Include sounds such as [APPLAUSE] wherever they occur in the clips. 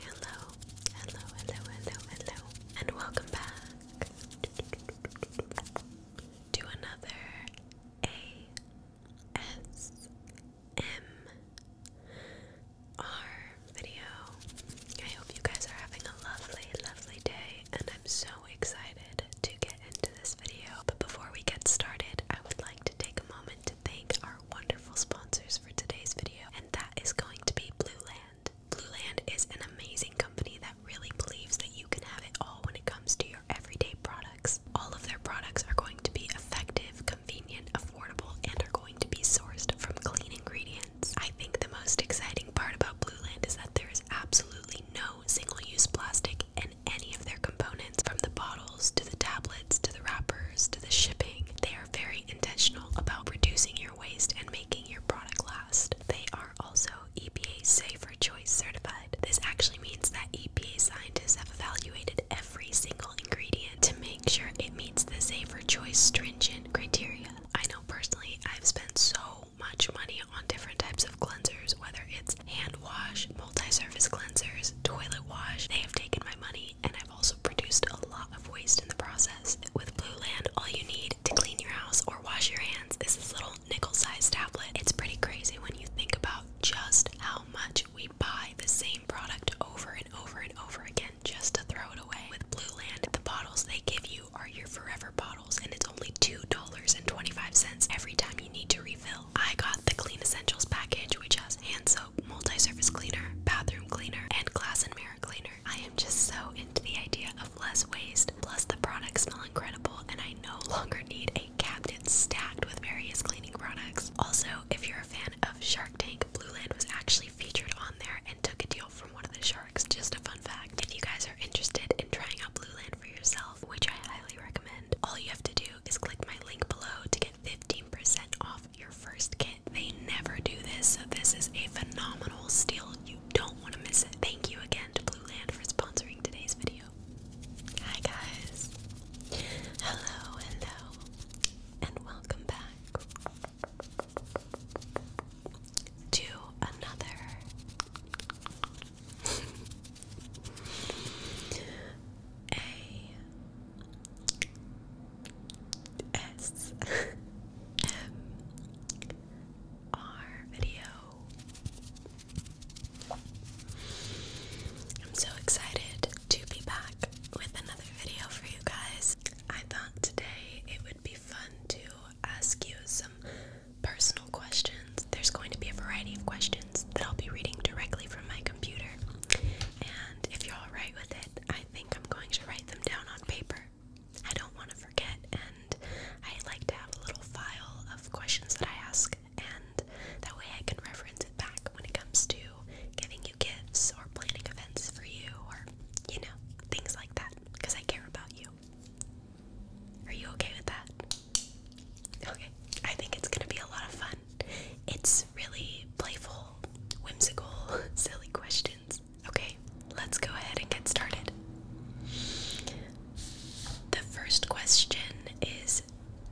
Hello, hello, hello, hello, hello, and welcome back to another ASMR video. I hope you guys are having a lovely, lovely day, and I'm so excited to get into this video. But before we get started, I would like to take a moment thank our wonderful sponsors for today's video, and that is going to be Blue Land. is an amazing company that really believes that you can have it all when it comes to your everyday products. All of their products are going to be effective, convenient, affordable, and are going to be sourced from clean ingredients. I think the most exciting part about Blue Land is that there is absolutely no single use plastic in any of their components, from the bottles to the tablets to the wrappers to the shipping. They very intentional about reducing your waste and making your product last. They are also EPA Safer Choice certified. This actually means that EPA scientists have evaluated every single ingredient to make sure it meets the Safer Choice stringent criteria. I know personally I've spent so much money on different types of cleansers, whether it's hand wash, multi surface cleansers, toilet wash. They have taken my money and I've also produced a lot of waste in the process. With Blue Land, all you need to clean your house or wash your hands is this little nickel-sized tablet. It's pretty crazy when you think about just how much we buy the same product over and over and over again just to throw it away. With Blue Land, the bottles they give you are your forever bottles, and it's only $2.25 every time you need to refill. I got the Clean Essentials package, which has hand soap, multi-surface cleaner, bathroom cleaner, and glass and mirror cleaner. I am just so into the idea of less waste. Plus the products smell incredible and I no [LAUGHS] longer need a cabinet stacked with various cleaning products. Also, if you're a fan of Shark Tank, Blue Land was actually featured on there and took a deal from one of the sharks. Just a fun fact. If you guys are interested in trying out Blue Land for yourself, which I highly recommend, all you have to do is click my link below to get 15% off your first kit. They never do this, so this is a phenomenal steal. You don't want to miss it. Thank you again to Blue Land for sponsoring today's video. Hi guys. Hello, hello, and welcome back to another [LAUGHS] S M R video. I'm so excited to be back with another video for you guys. I thought today it would be fun to ask you some personal questions. There's going to be a variety of questions that I'll be reading directly from my computer. And if you're alright with it, I think I'm going to write them down on paper. I don't want to forget, and I like to have a little file of questions that I ask, and that way I can reference it back when it comes to giving you gifts or planning events for you or, you know, things like that, because I care about you. Are you okay with that? Okay, I think it's gonna be a lot of fun. It's really playful, whimsical, [LAUGHS] silly questions. Okay, let's go ahead and get started. The first question is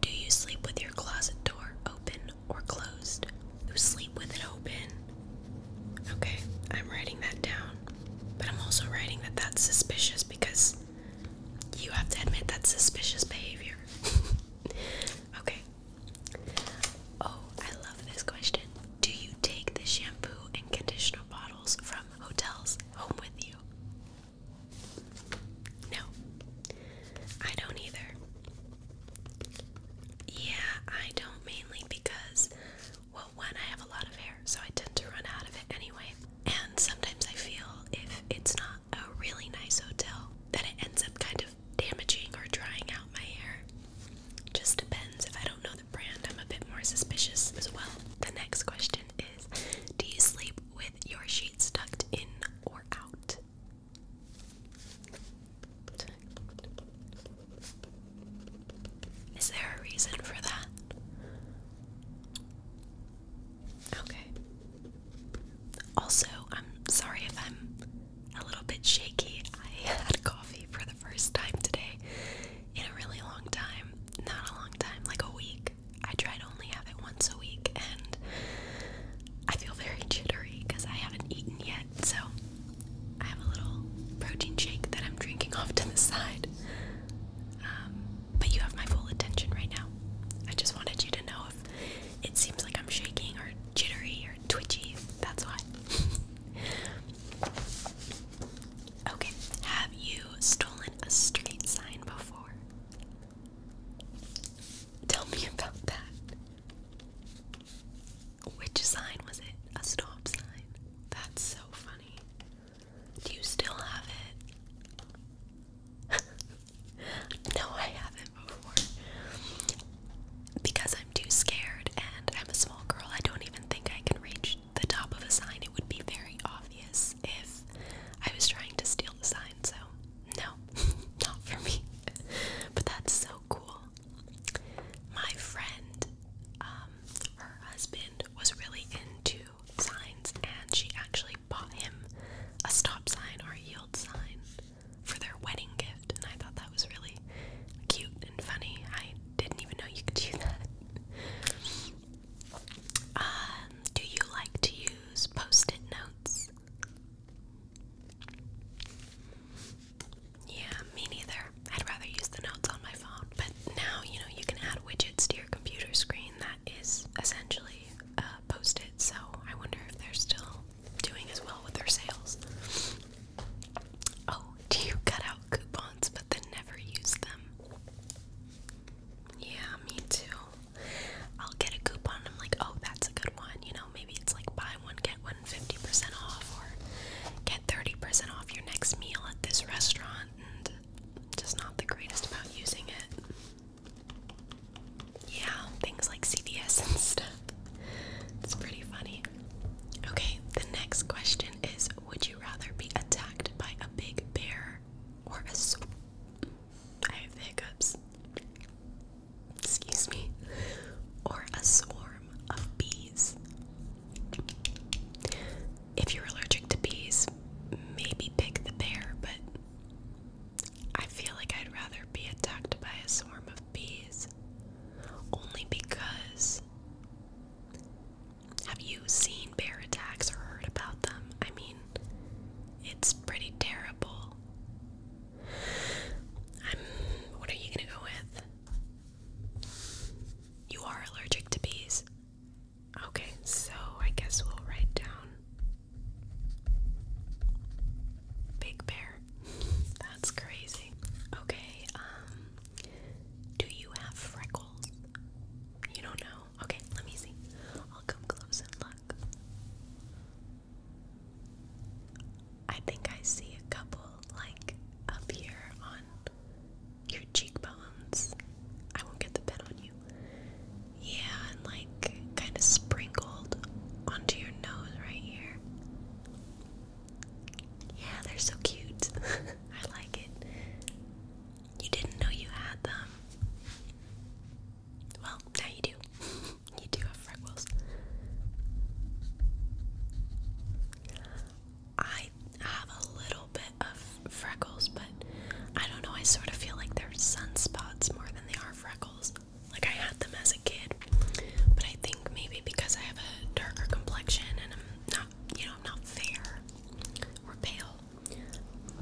Do you sleep with your closet door open or closed? Who sleep with it open. Okay, I'm writing that down. But I'm also writing that that's suspicious because you have to admit that's suspicious behavior. [LAUGHS] okay, Oh, I love this question. Do you take the shampoo and conditioner bottles from hotels home with you? No, I don't either. Yeah, I don't mainly because, well, one, I have a lot of hair, so I tend to run out of it anyway. And sometimes I feel if it's not a really nice hotel, that it ends up kind of damaging or drying out my hair. Just depends. If I don't know the brand, I'm a bit more suspicious as well. The next question is Do you sleep with your sheets tucked in or out? Is there a reason for that? Okay. Also, I'm sorry if I'm a little bit shaky. I had coffee for the first time today in a really long time. Not a long time, like a week. I tried only have it once a week, and I feel very jittery because I haven't eaten yet. So, I have a little protein shake that I'm drinking [LAUGHS] off to the side. Um, but you have my full attention right now. I just wanted you to know if it seems like I'm shaking or jittery or twitchy. That's why. [LAUGHS] okay, have you stolen a street sign before? Tell me about that. Which sign was it? A stop sign. That's so funny. Do you still have it? [LAUGHS] No, I haven't before. Because I'm too scared and I'm a small girl, I don't even think I can reach the top of a sign. It would be very obvious if I was trying to steal the sign, so no, [LAUGHS] not for me. But that's so cool. My friend, um, her husband was really into signs and she actually bought him a stop sign or a yield sign for their wedding gift, and I thought that was really cute and funny. I didn't even know you could do that. Um, do you like to use post it notes? Yeah, me neither. I'd rather use the notes on my phone. But now, you know, you can add widgets to your computer screen that is essentially uh, post it. So I wonder if they're still doing as well with their sales. Oh, do you cut out coupons but then never use them? Yeah, me too. I'll get a coupon I'm like, oh, that's a good one. You know, maybe it's like buy one, get one percent off or get 30% off your next meal at this restaurant and just not the greatest about using it. Yeah, things like CVS and stuff. It's pretty funny. Okay, the next question is Would you rather be attacked by a big bear or a sw I have hiccups. Excuse me. Or a swarm of bees? If you're allergic to bees, maybe pick the bear, but I feel like I'd rather be attacked by a swarm of bees only because have you seen bear attacks or heard about them? I mean, it's pretty terrible. I'm what are you gonna go with? You are allergic to bees. Okay, so I guess we'll write down Big Bear. That's crazy. Okay, um, do you have freckles? You don't know? Okay, let me see. I'll come close and look. I think I see a couple, like, up here on your cheekbones. I won't get the pen on you. Yeah, and like, kind of sprinkled onto your nose right here. Yeah, they're so cute. [LAUGHS] I like it. You didn't know you had them. Well, now you do. [LAUGHS] you do have freckles. I have a little bit of freckles, but I don't know. I sort of feel like they're sunspots more than they are freckles. Like I had them as a kid, but I think maybe because I have a darker complexion and I'm not, you know, I'm not fair or pale,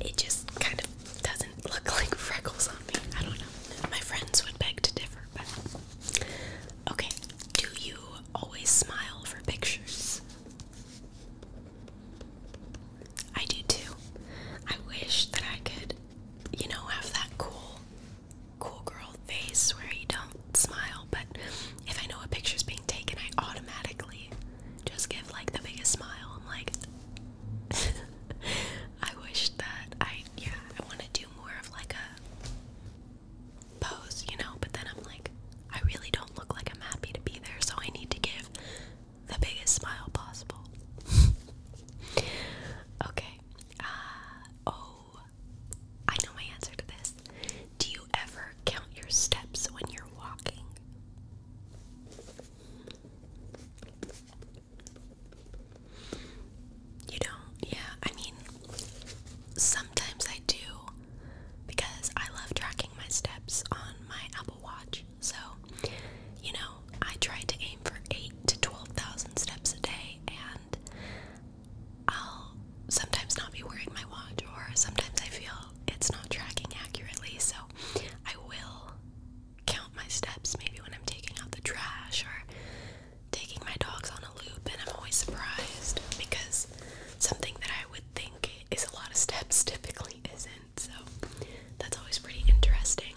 it just kind of doesn't look [LAUGHS] like freckles on me. I don't know. My friends would beg to differ, but okay. Do you always smile for pictures? I do too. I wish that I could, you know, have that cool cool girl face where you don't smile, but if I know a picture's being taken, I automatically just give like the biggest smile. I'm like, [LAUGHS] I wish that I, yeah, I want to do more of like a pose, you know, but then I'm like, I really don't look like I'm happy to be there, so I need to give the biggest smile possible. [LAUGHS] okay, uh, oh, I know my answer to this. Do you ever count your steps when you're walking? You don't? Yeah, I mean, sometimes I do because I love tracking my steps on my Apple Watch. So, you know, I try to aim for 8 to 12,000 steps a day and I'll sometimes not be wearing my watch or sometimes I feel it's not tracking accurately so I will count my steps maybe when I'm taking out the trash or taking my dogs on a loop and I'm always surprised because something that I would think is a lot of steps [LAUGHS] typically isn't so that's always pretty interesting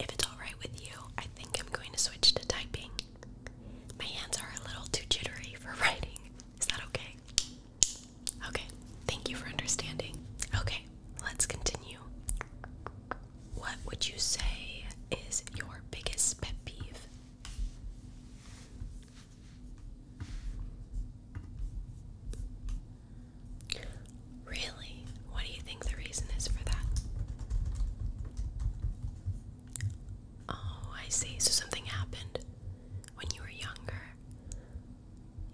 if it's alright with you, I think I'm going to switch to typing. My hands are a little too jittery for [LAUGHS] writing. Is that okay? Okay, thank you for understanding. Okay, let's continue. What would you say is your biggest pet peeve? Really? What do you think the reason is for that? Oh, I see. So something happened when you were younger.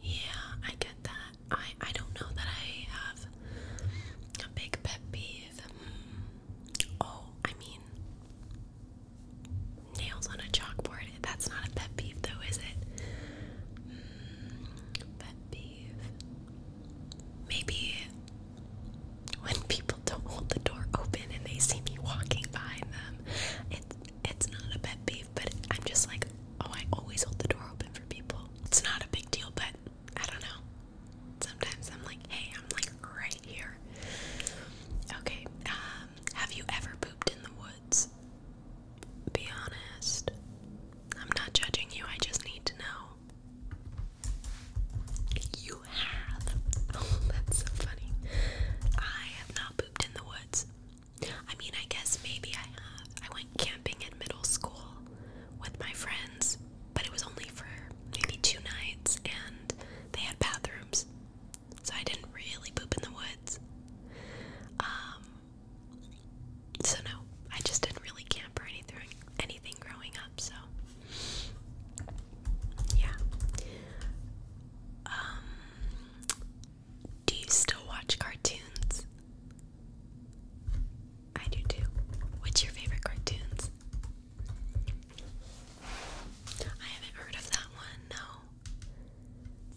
Yeah, I get that. I I don't know that I have a big pet peeve. Hmm. Oh, I mean nails on a chalkboard. That's not a pet peeve though, is it? Hmm. Pet peeve maybe when people don't hold the door open and they see me walking behind them, it's it's not a pet peeve, but I'm just like, oh, I always hold the door open for people. It's not a big deal, but I don't know. Sometimes I'm like, hey, I'm like right here. Okay, um, have you ever pooped in the woods? Be honest. I'm not judging you, I just need to know. You have. Oh, [LAUGHS] that's so funny. I have not pooped in the woods. I mean, I guess maybe I have. I went camping in middle school with my friends, but it was only for maybe two nights and they had bathrooms. So I didn't really poop in the woods. Um, so no, I just didn't really camp or anything anything growing up, so yeah. Um do you still watch cartoons? I do too. What's your favorite cartoons? I haven't heard of that one, no.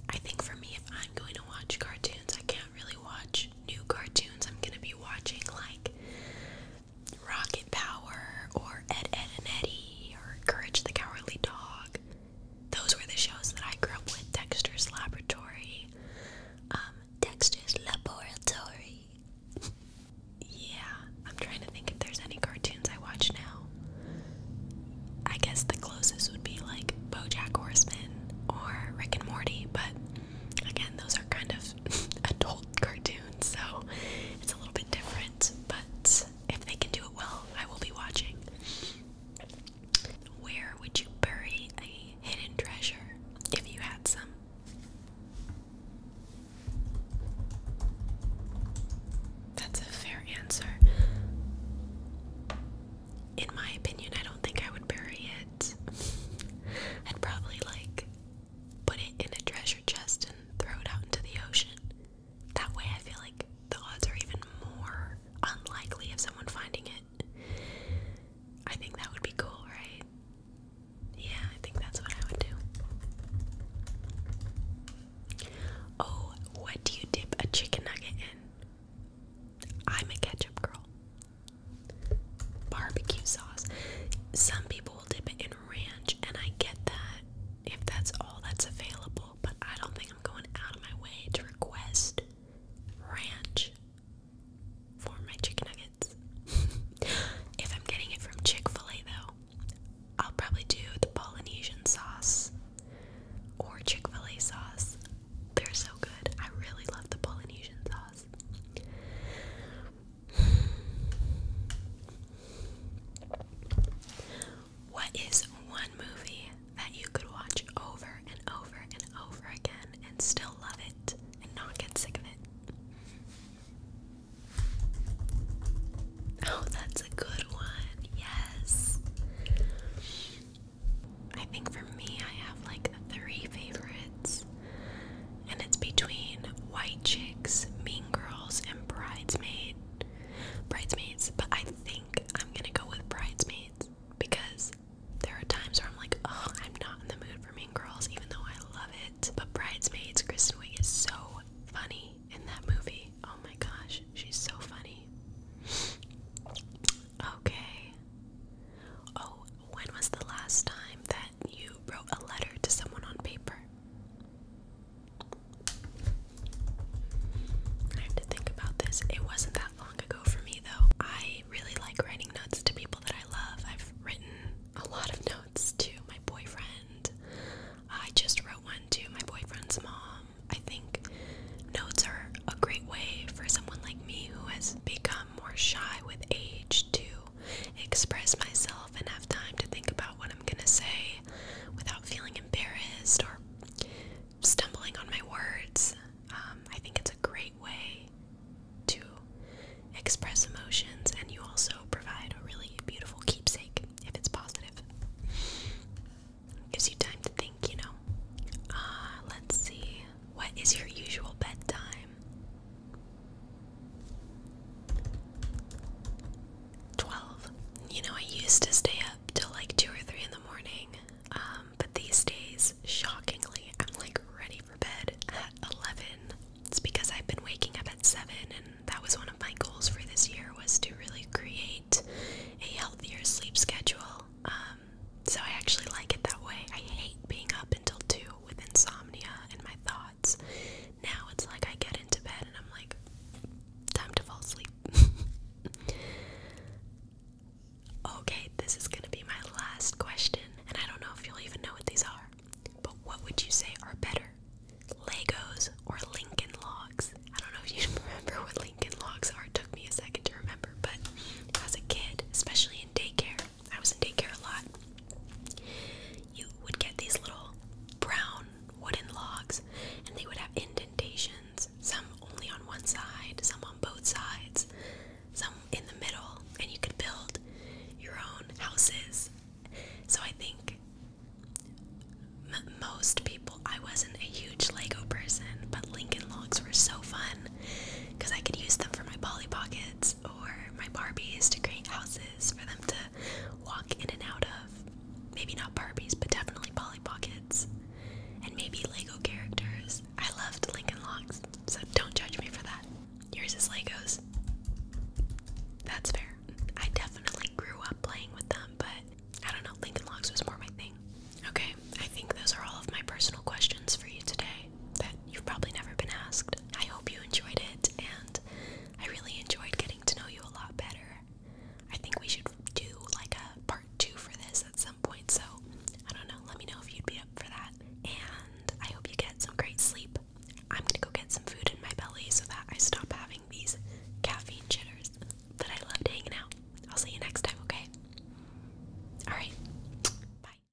I think for me, if I'm going to watch cartoons, I can't really watch new cartoons. I'm gonna be watching like Rocket Power or Ed, Ed and Eddie or Courage the Cowardly Dog. Those were the shows that I grew up with. Dexter's Laboratory. Um, Dexter's Laboratory. yeah, I'm trying to think if there's any cartoons I watch now. I guess the closest would be like BoJack Horseman or Rick and Morty, but Again, those are kind of [LAUGHS] adult cartoons, so it's a little bit different, but if they can do it well, I will be watching. Where would you bury a hidden treasure if you had some? That's a fair answer. In my opinion, I don't think I would bury it. I'd probably like put it in a treasure chest and throw it out into the ocean. That way, I feel like the odds are even more unlikely of someone finding it. I think that would be cool, right? Yeah, I think that's what I would do. Oh, what do you dip a chicken nugget in? I'm a ketchup girl barbecue sauce. Some people will dip it in ranch, and I get that if that's all that's available, but I don't think I'm going out of my way to request ranch for my chicken nuggets. [LAUGHS] if I'm getting it from Chick fil A, though, I'll probably do the Polynesian sauce or Chick fil A sauce. They're so good. I really love the Polynesian sauce. What is one movie that you could watch over and over and over again and still love it and not get sick of it? Oh, that's a good one. Yes. I think for me, I have like three favorites and it's between White Chicks, Mean Girls, and Bridesmaid. Bridesmaids, but I think I'm gonna go with Bridesmaids because there are times where I'm like, oh, I'm not in the mood for Mean Girls, even though I love it. But Bridesmaids, Kristen Wiig is so funny in that movie. Oh my gosh, she's so funny. okay. Oh, when was the last time that you wrote a letter to someone on paper? I have to think about this. It wasn't that long ago for me, though. I really like writing notes to people that I love. I've written a lot of notes to my boyfriend. I just wrote one to my boyfriend's mom. I think notes are a great way for someone like me who has become more shy with age to express myself and have time to think about what I'm gonna say without feeling embarrassed or stumbling on my words. Um, I think it's a great way to express emotions, and you also provide a really beautiful keepsake if it's positive. Gives you time to think, you know. Uh, let's see. What is your usual bedtime? 12. You know, I used to stay up till like 2 or 3 in the morning, um, but these days, shockingly, I'm like ready for bed at 11. It's because I've been waking up at 7, and that was one of my goals for this year was to really create a healthier sleep schedule. Um, so I actually like it that way. I hate being up until 2 with insomnia and my thoughts. Now it's like I get into bed and I'm like, time to fall asleep. [LAUGHS] okay, this is gonna be my last question, and I don't know if you'll even know what these are, but what would you say are better? Legos or Lincoln Logs? I don't know if you [LAUGHS] remember what Lincoln Logs are. It took me a second to remember, but as a kid, especially in daycare, I was in daycare a lot. You would get these little brown wooden logs, and they would have indentations, some only on one side, some on both sides, some in the middle, and you could build your own houses. So I think most people, I wasn't a huge Lego person, but Lincoln logs were so fun because I could use them for my Polly Pockets or my Barbies to create houses for them to walk in and out of. Maybe not Barbies, but definitely Polly Pockets. And maybe Lego characters. I loved Lincoln Logs, so don't judge me for that. Yours is Legos. That's fair. I definitely grew up playing with them, but I don't know, Lincoln Logs was more my thing. Okay, I think those are all of my personal questions for you today that you've probably never been asked. I hope you enjoyed it, and I really enjoyed getting to know you a lot better. I think we should do like a part two for this at some point, so I don't know. Let me know if you'd be up for that. And I hope you get some great sleep. I'm gonna go get some food in my belly so that I stop having these caffeine jitters. But I loved hanging out. I'll see you next time, okay? Alright, bye.